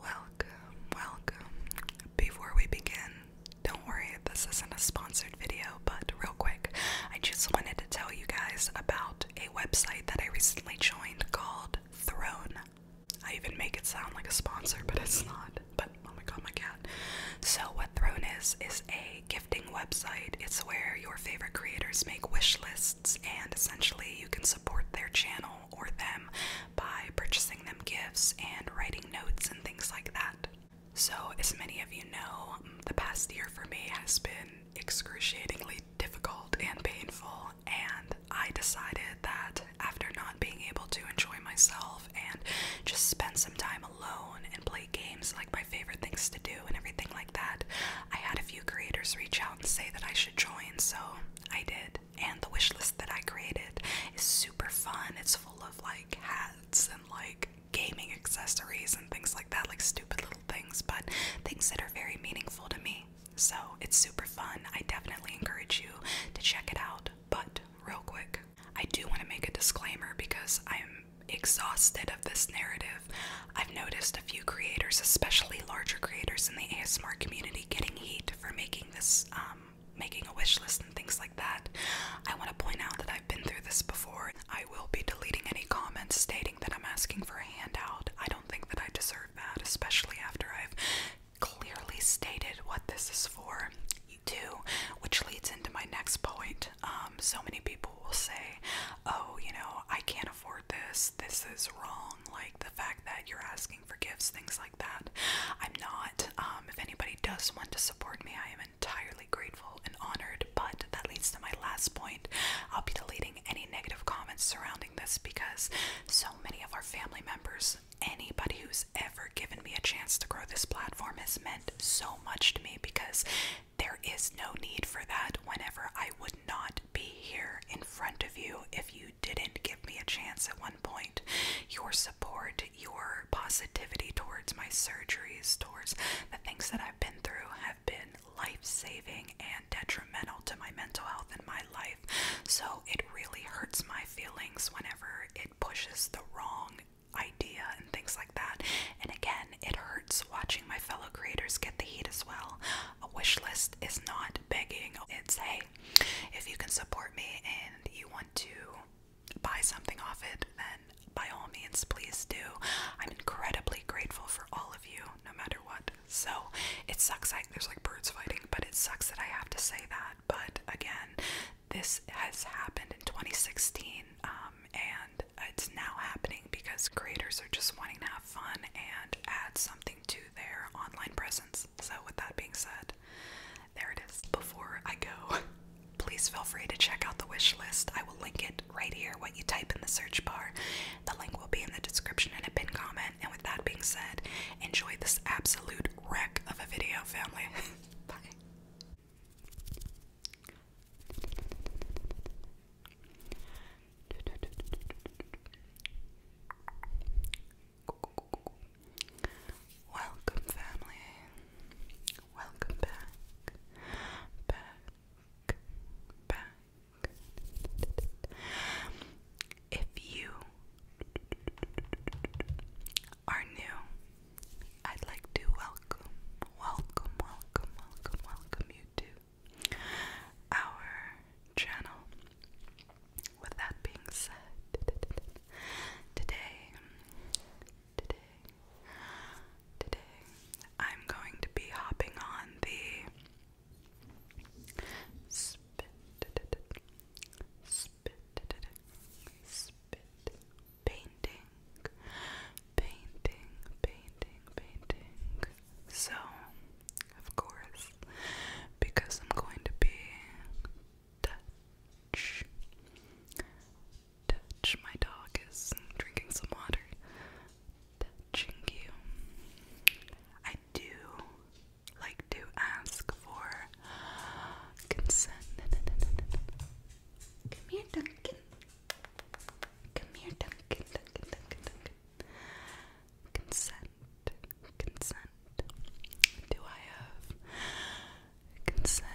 Welcome, welcome. Before we begin, don't worry, this isn't a sponsored video, but real quick, I just wanted to tell you guys about a website that I recently joined called Throne. I even make it sound like a sponsor, but it's not. But oh my god, my cat. So, what Throne is, is a gifting website. It's where your favorite creators make wish lists, and essentially, you can support their channel or them by purchasing them gifts and writing notes and things like that. So, as many of you know, mm, the past year for me has been excruciatingly difficult and painful, and I decided that after not being able to enjoy myself and just spend some time alone and play games like my favorite things to do and everything like that, I had a few creators reach out and say that I should join, so I did and the wish list that I created is super fun. It's full of like hats and like gaming accessories and things like that, like stupid little things, but things that are very meaningful to me. So it's super fun. I definitely encourage you to check it out. But real quick, I do want to make a disclaimer because I'm exhausted of this narrative. I've noticed a few creators, especially larger creators in the ASMR community, getting heat for making this, um, making a wish list and things like that, I want to point out that I've been through this before. I will be deleting any comments stating that I'm asking for a handout. I don't think that I deserve that, especially after I've clearly stated what this is for. You which leads into my next point. Um, so many people will say, "Oh, you know, I can't afford this. This is wrong." Like the fact that you're asking asking for gifts, things like that. I'm not. Um, if anybody does want to support me, I am entirely grateful and honored. But that leads to my last point. I'll be deleting any negative comments surrounding this because so many of our family members, anybody who's ever given me a chance to grow this platform, has meant so much to me because there is no need for that whenever I would not be here in front of you if you didn't give me a chance at one point. Your support, your positivity towards my surgeries, towards the things that I've been through, have been life saving and detrimental to my mental health and my life. So it really hurts my feelings whenever it pushes the wrong idea and things like that. And again, it hurts watching my fellow creators get the heat as well. A wish list is not begging, it's hate. If you can support me and you want to buy something off it, then by all means, please do. I'm incredibly grateful for all of you, no matter what. So it sucks. I, there's like birds fighting, but it sucks that I have to say that. But again, this has happened in 2016, um, and it's now happening because creators are just wanting to have fun and add something to their online presence. So, with that being said, there it is. Before I go, please feel free to check out the wish list. I will link it right here, what you type in the search bar. The link will be in the description and a pinned comment. And with that being said, enjoy this absolute wreck of a video, family. Bye. Welcome, family. Welcome back. Back. Back. If you are new, I'd like to welcome, welcome, welcome, welcome, welcome you to our channel with that being said, today, today, today, I'm going to be hopping on the spit, spit, spit painting, painting, painting, painting. So, of course, because I'm going to be Dutch. Dutch, my dog is drinking some water. Dutching you. I do like to ask for consent. Come here, Duncan. Come here, Duncan, Duncan, Duncan, Duncan consent, consent. Do I have consent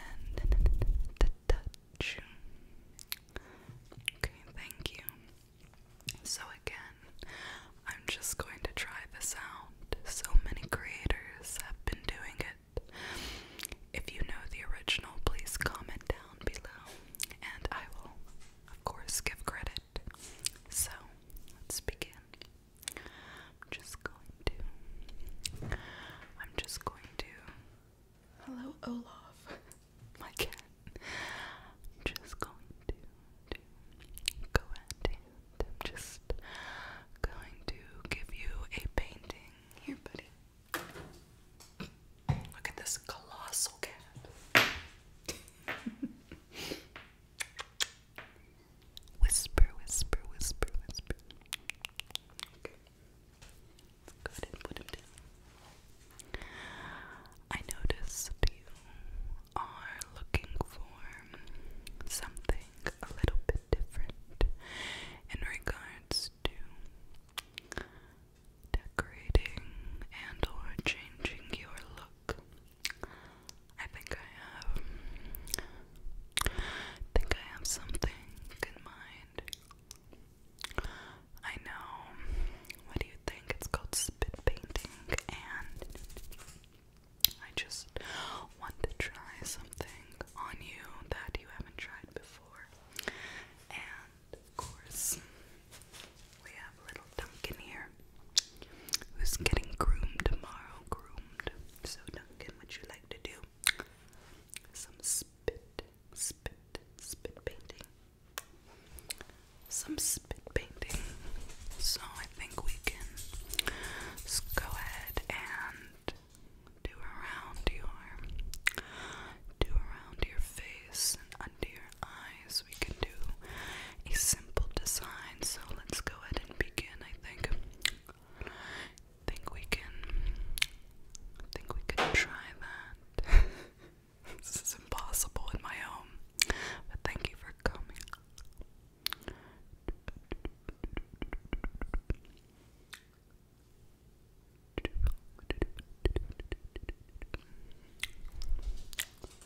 Okay, thank you. So again, I'm just going to try this out. So many creators have been doing it. If you know the original, please comment down below and I will, of course, give credit. So, let's begin. I'm just going to. I'm just going to. Hello, Olaf, my cat. I'm just going to, go and I'm just going to give you a painting. Here, buddy. Look at this colossal cat. Whisper, whisper, whisper, whisper. I noticed you are looking for something a little bit different in regards to decorating and or changing your look. I think I have. think I have something in mind. I know. What do you think? It's called spit painting, and I just want to try something on you that you haven't tried before. And of course, we have little Duncan here, who's getting groomed tomorrow. Groomed. So, Duncan, would you like to do some spit, spit, spit painting? Some spit painting. So, I think we can go ahead and do around your, do around your face and under your eyes. We can do a simple design. So let's go go ahead and begin, I think. think we can think we can try that. this is impossible in my home. But thank you for coming.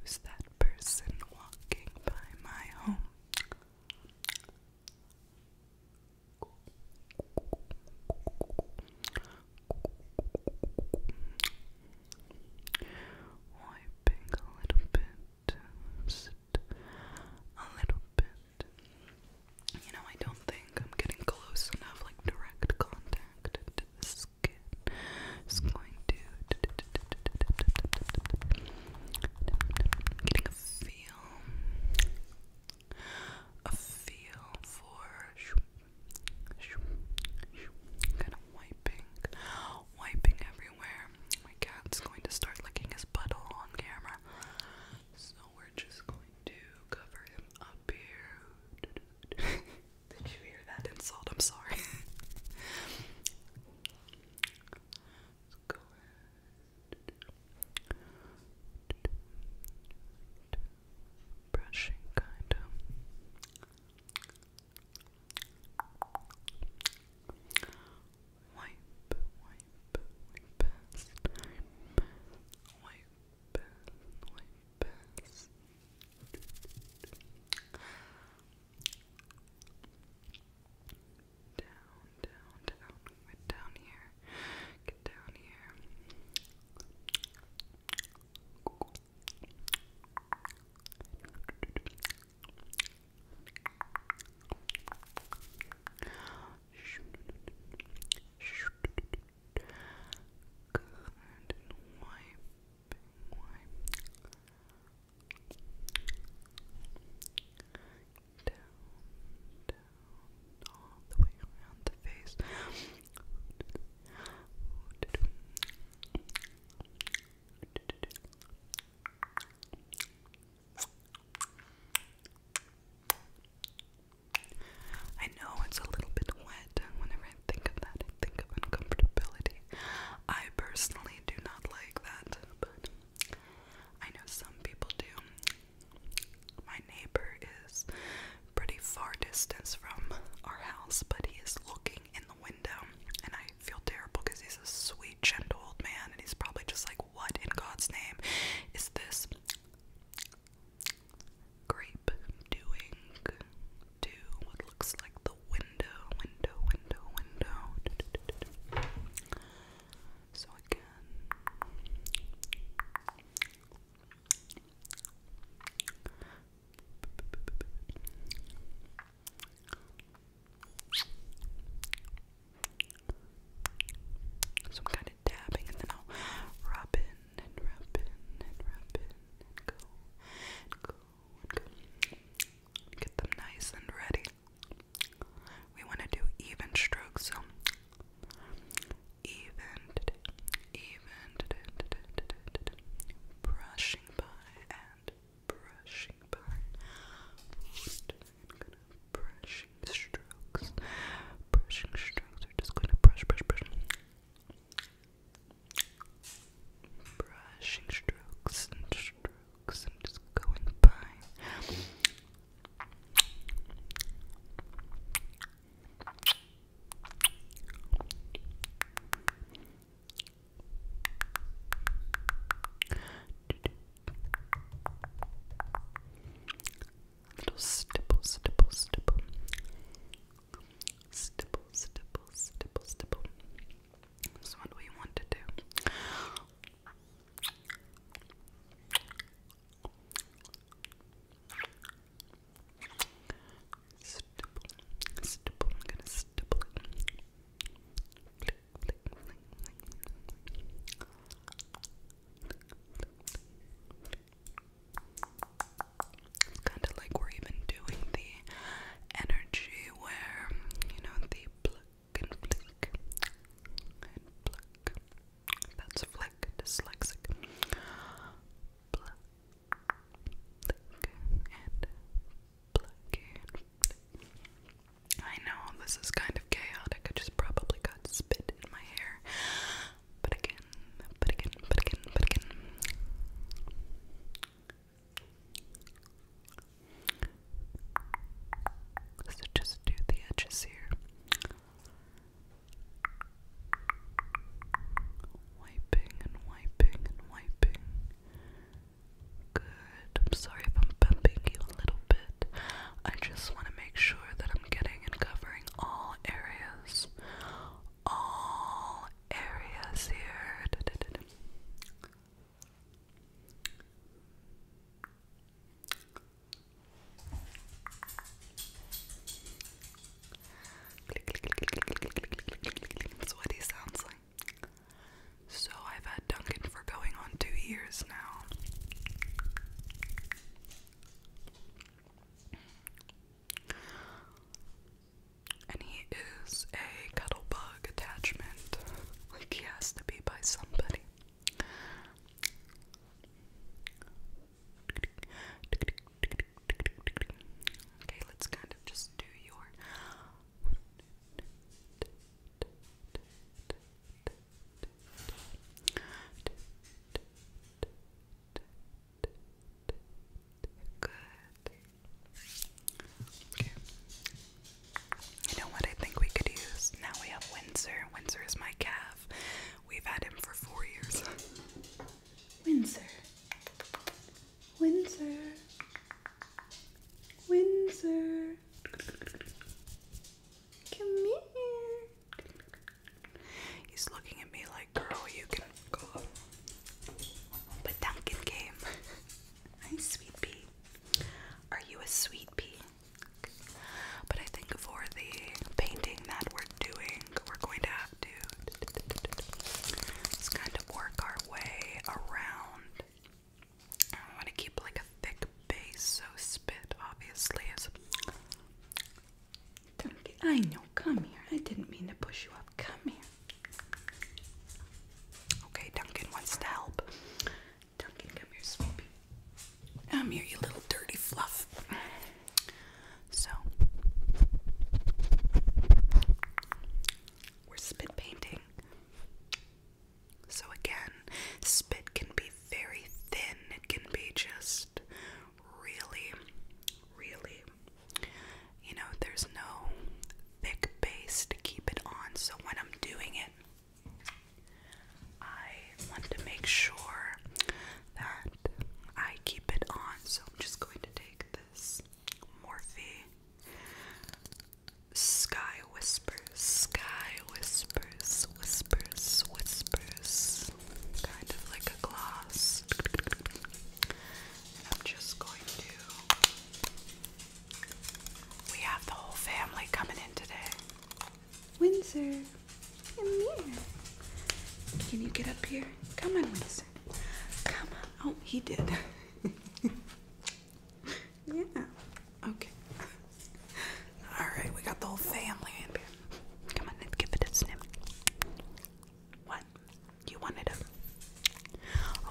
Who's that person walking by my home? Wiping a little bit just a little bit. You know, I don't think I'm getting close enough, like direct contact to the skin. It's going to getting a feel, a feel for kind of wiping, wiping everywhere. My cat's going to start licking his puddle on camera. So we're just going to cover him up here. Did you hear that insult? I'm sorry. Let's go ahead. Brushing kind Wipe, wipe, wipe past. Wipe past, wipe Down, down, down. Get down here. Get down here. Good wiping, wiping. Down, down, all the way around the face. I know it's a little bit wet. Whenever I think of that, I think of uncomfortability. I personally do not like that, but I know some people do. My neighbor is pretty far distance from our house, but he is looking in the window, and I feel terrible because he's a sweet, gentle old man, and he's probably just like, What in God's name is this grape doing to what looks like the window, window, window, window? So again. So kind of dabbing and then I'll rub in and rub in and rub in and go go and go. Get them nice and ready. We want to do even strokes, so even, even, brushing by and brushing pattern. I'm gonna brushing strokes. Brushing strokes. We're just gonna brush, brush, brush. Brushing strokes and strokes. I'm just going by. Brushing, Little stipple, stipple, stipple. Stipple, stipple, stipple, stipple. This one we want to do. Stipple, stipple, I'm gonna stipple it. Flick, it's kind of like we're even doing the energy where, you know, the That's flick, dyslexic. I know this is kind of chaotic. I just probably got spit in my hair. But again, but again, but again, but again. so just do the edges here. Wiping and wiping and wiping. Good. I'm sorry if I'm bumping you a little bit. I just want to make sure that I'm getting and covering all areas. All areas here. That's what he sounds like. So I've had Duncan for going on two years now. And he is a cuddle bug attachment. Like he has to be by somebody. Okay, let's kind of just do your you know what I think we could use? Now we have Windsor. Windsor is my calf. We've had him for four years. Windsor. Windsor. Windsor. Come here. He's looking at me like, girl, you can go. But Duncan came. Hi, sweet Are you a sweet But I think for the painting that we're doing, we're going to have to just kind of work our way around I want to keep like a thick base, so spit obviously is. Don't get, I know, come here. I didn't mean to push you up. Come here. Okay, Duncan wants to help. Duncan, come here, Swoopy. Come here, you little dirty fluff. So, we're spit painting. So, again, spit can be very thin, it can be just really, really, you know, there's no thick base to keep it on. So, when I'm doing it, I want to make sure that I keep it on. So, I'm just going to take this Morphe Sky whispers, sky whispers, whispers, whispers, kind of like a gloss. I'm just going to. We have the whole family coming in today. Windsor, come here. Can you get up here? Come on, Windsor. Come on. Oh, he did. yeah. Okay. All right, we got the whole family in here. Come on, let's give it a sniff. What? You wanted it?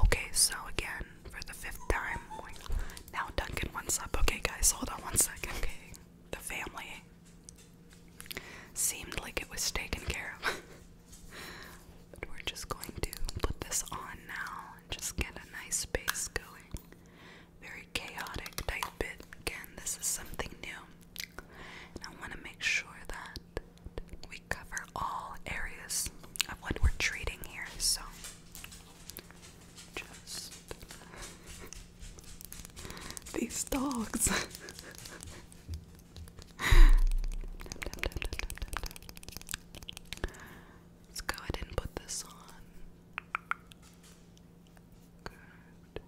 Okay, so again, for the fifth time, now Duncan wants up. Okay, guys, hold on one second. Okay, the family seemed like it was taken care of. but we're just going to put this on now just get a nice space going. Very chaotic type bit. Again, this is something new. I want to make sure that we cover all areas of what we're treating here. So just these dogs. Let's go ahead and put this on. Good. Good.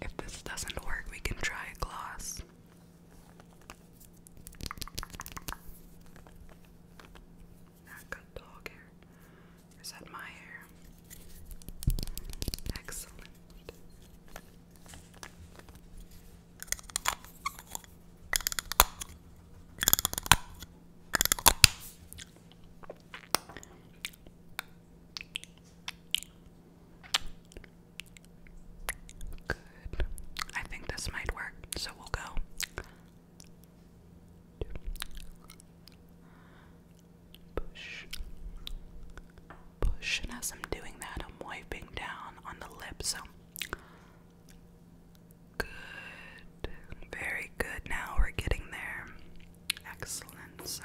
If this doesn't work, we can try a gloss not cut dog hair. is that my hair? Excellent. Good. I think this might work, so we'll go Push. Push. And as I'm doing that, I'm wiping down on the lips. So. Good. Very good. Now we're getting there. Excellent. So.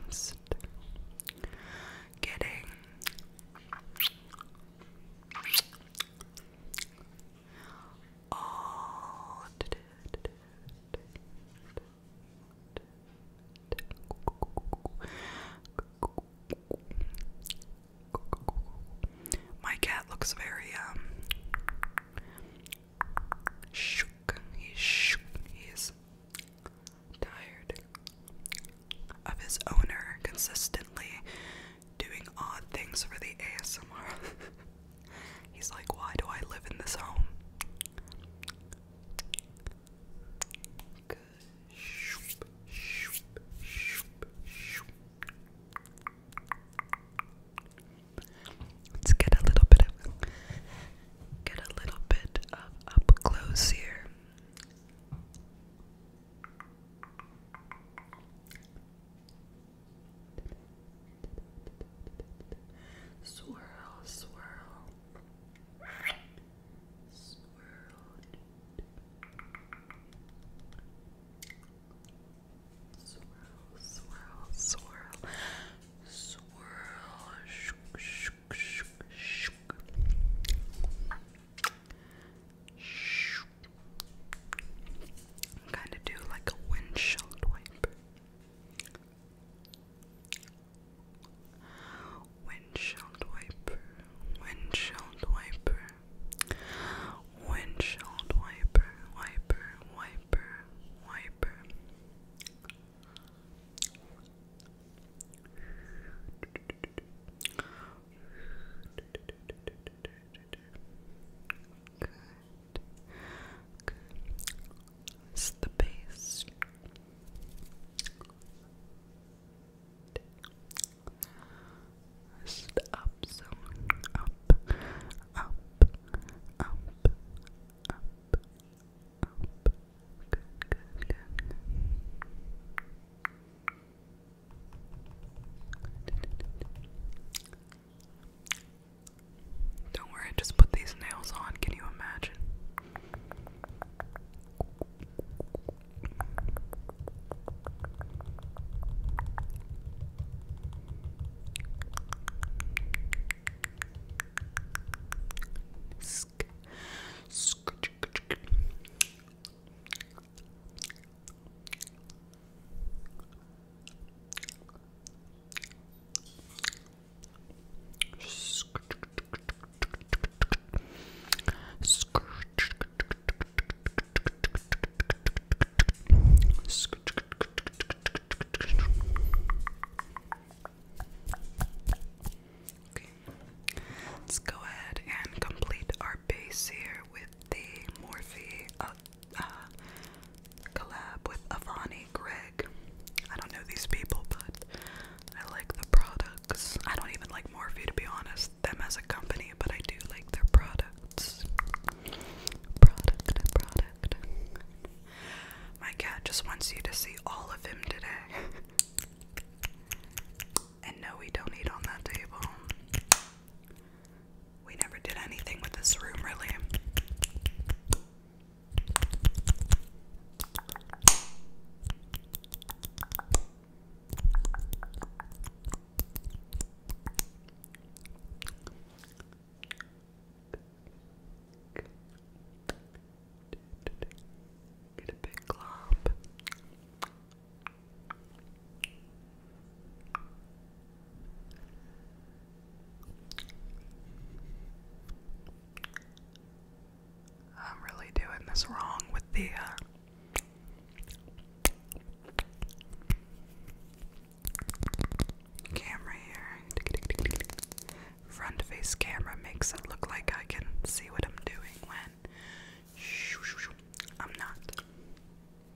Just getting all my cat looks very um shook. He's shook. He's tired of his owner consistently doing odd things for the ASMR. He's like, why do I live in this home? Let's get a little bit of get a little bit of up close here. Swirl, swirl, swirl, swirl, swirl, swirl, swirl, shook, shook, shook, shook. Shook, Kind of do like a windshield wiper. Windshield wiper, windshield wiper, windshield wiper, wiper, wiper, wiper. Good. Good. the base. up Up, up, up, up, up. good, good. Good. Don't worry, just put these nails on. Can you imagine? let's go ahead and complete our base here with the Morphe uh, uh, collab with Avani Greg. I don't know these people, but I like the products. I don't even like Morphe to be honest, them as a company, but I do like their products. Product, product. My cat just wants you to see all of him today. and no, we don't eat on that table. We never did anything with this room, really. Get a big glob. I'm really doing this wrong with the uh camera here. Front face camera makes it look like I can see what I'm doing when I'm not.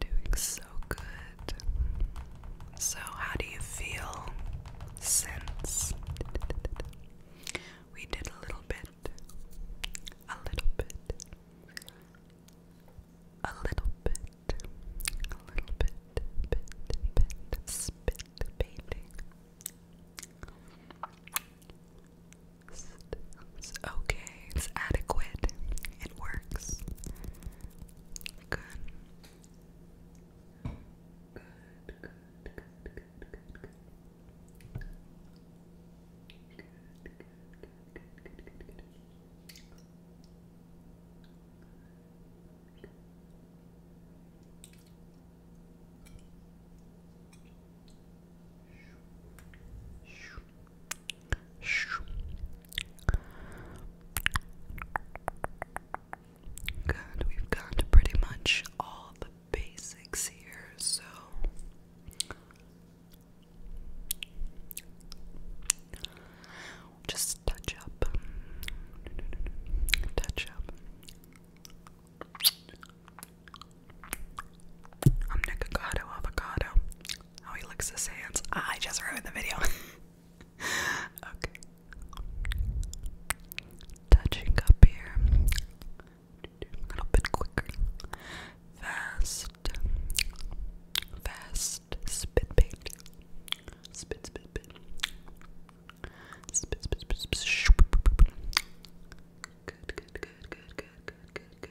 Doing so good. So, how do you feel since we did a little bit, a little bit, a little bit, a little bit, bit, bit, spit painting? It's okay. It's adequate. It works. Good. Good, good, good, good, good, good. Good, good, good, good, good, good. Good, we've got pretty much all the basics here, so just touch up, touch up. I'm Avocado Avocado. oh, he licks his hands. Ah, I just ruined the video. okay. Touching up here. A little bit quicker. Fast. Fast. Spit paint. Spit, spit, spit. Spit, spit, spit, spit. Good, good, good, good, good, good, good,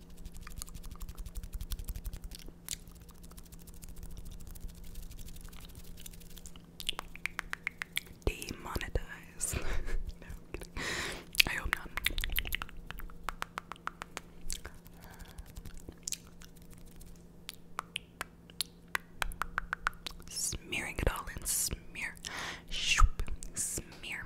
Demonetize. i hope not. Smearing it all in smear. Shoop. Smear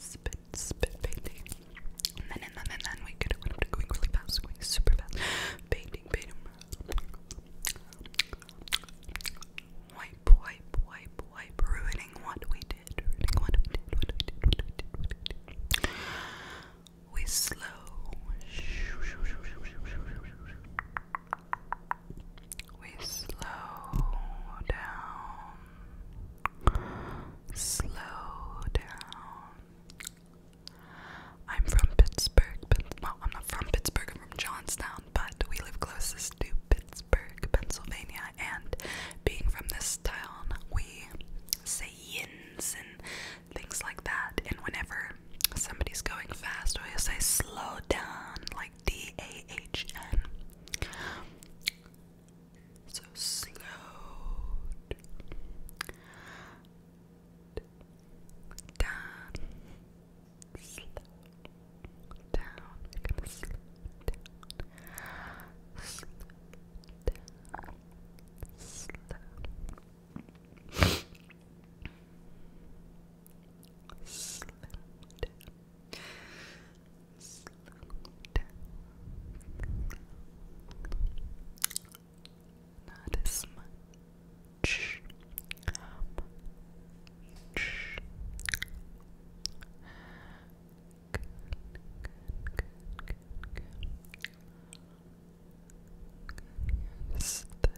spit, spit painting. And then, and then, and then we could have went going really fast, going super fast. Painting, painting. Wipe, wipe, wipe, wipe. Ruining what ruining what we did, what what we did. We slow. We slow down. Slow down. I'm from Pittsburgh, well, I'm not from Pittsburgh, I'm from Johnstown, but we live closest to Pittsburgh, Pennsylvania, and being from this town, we say yins and things like that. And whenever somebody's going fast, we say slow down, like D A H N. So slowed. Down. Slow down. slow down. Slow down. slow down. Not as much. the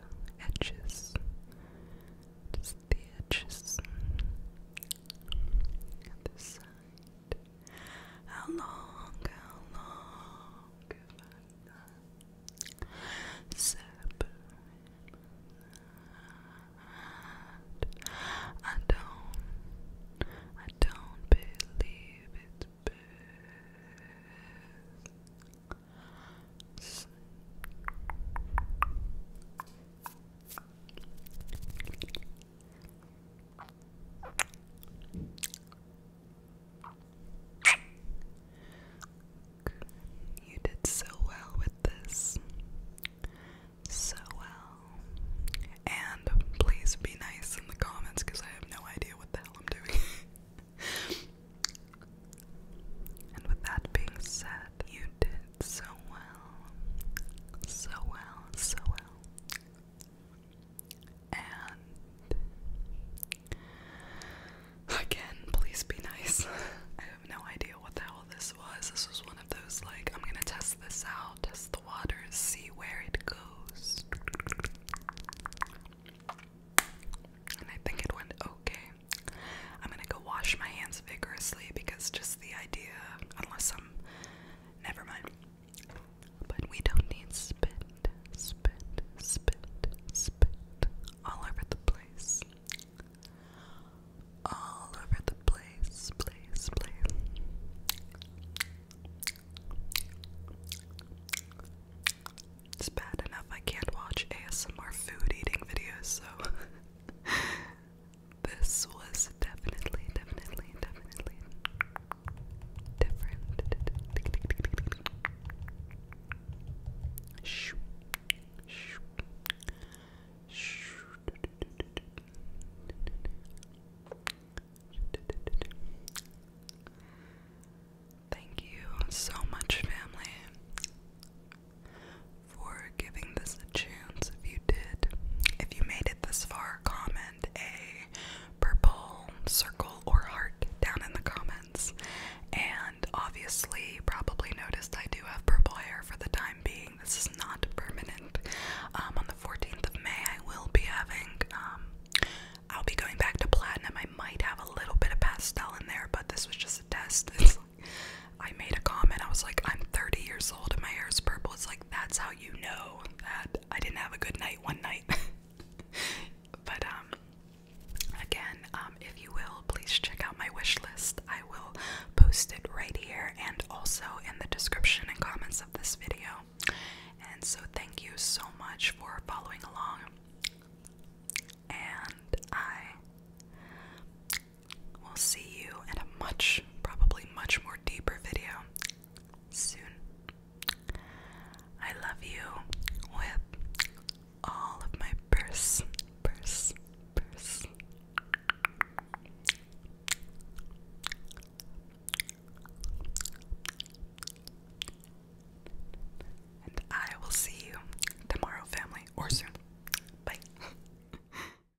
edges the edges at the side. How long, how long have I I don't, I don't believe it's best. You did so well with this. So well. And please be nice in the comments because I have no idea what the hell I'm doing. and with that being said, you did so well, so well, so well. And again, please be nice. I have no idea what the hell this was. This was one of those, like, I'm gonna test this out, test the waters, see where it goes. And I think it went okay. I'm gonna go wash my hands vigorously because just the idea, unless I'm, never mind. But we don't need spit, spit, spit, spit all over the place. All over the place, place, place. It's bad enough I can't watch ASMR food eating videos, so This was definitely, definitely, definitely different. Shoo. Shoo. Shoo. Thank you so much, family, for giving this a chance if you did. If you made it this far, comment a purple circle or heart down in the comments. And obviously, probably noticed I do have purple hair for the time being. This is not permanent. Um, on the 14th of May, I will be having, um, I'll be going back to platinum. I might have a little bit of pastel in there, but this was just a test. I made a comment. I was like, I'm 30 years old and my hair is purple. It's like, that's how you know that I didn't have a good night one night. but, um, again, um, if you will, please check out my wish list. I will post it right here and also in the description and comments of this video. And so, thank you so much for following along. And I We'll see you in a much, probably much more deeper video soon. I love you with all of my purse, purse, purse. And I will see you tomorrow, family, or soon. Bye.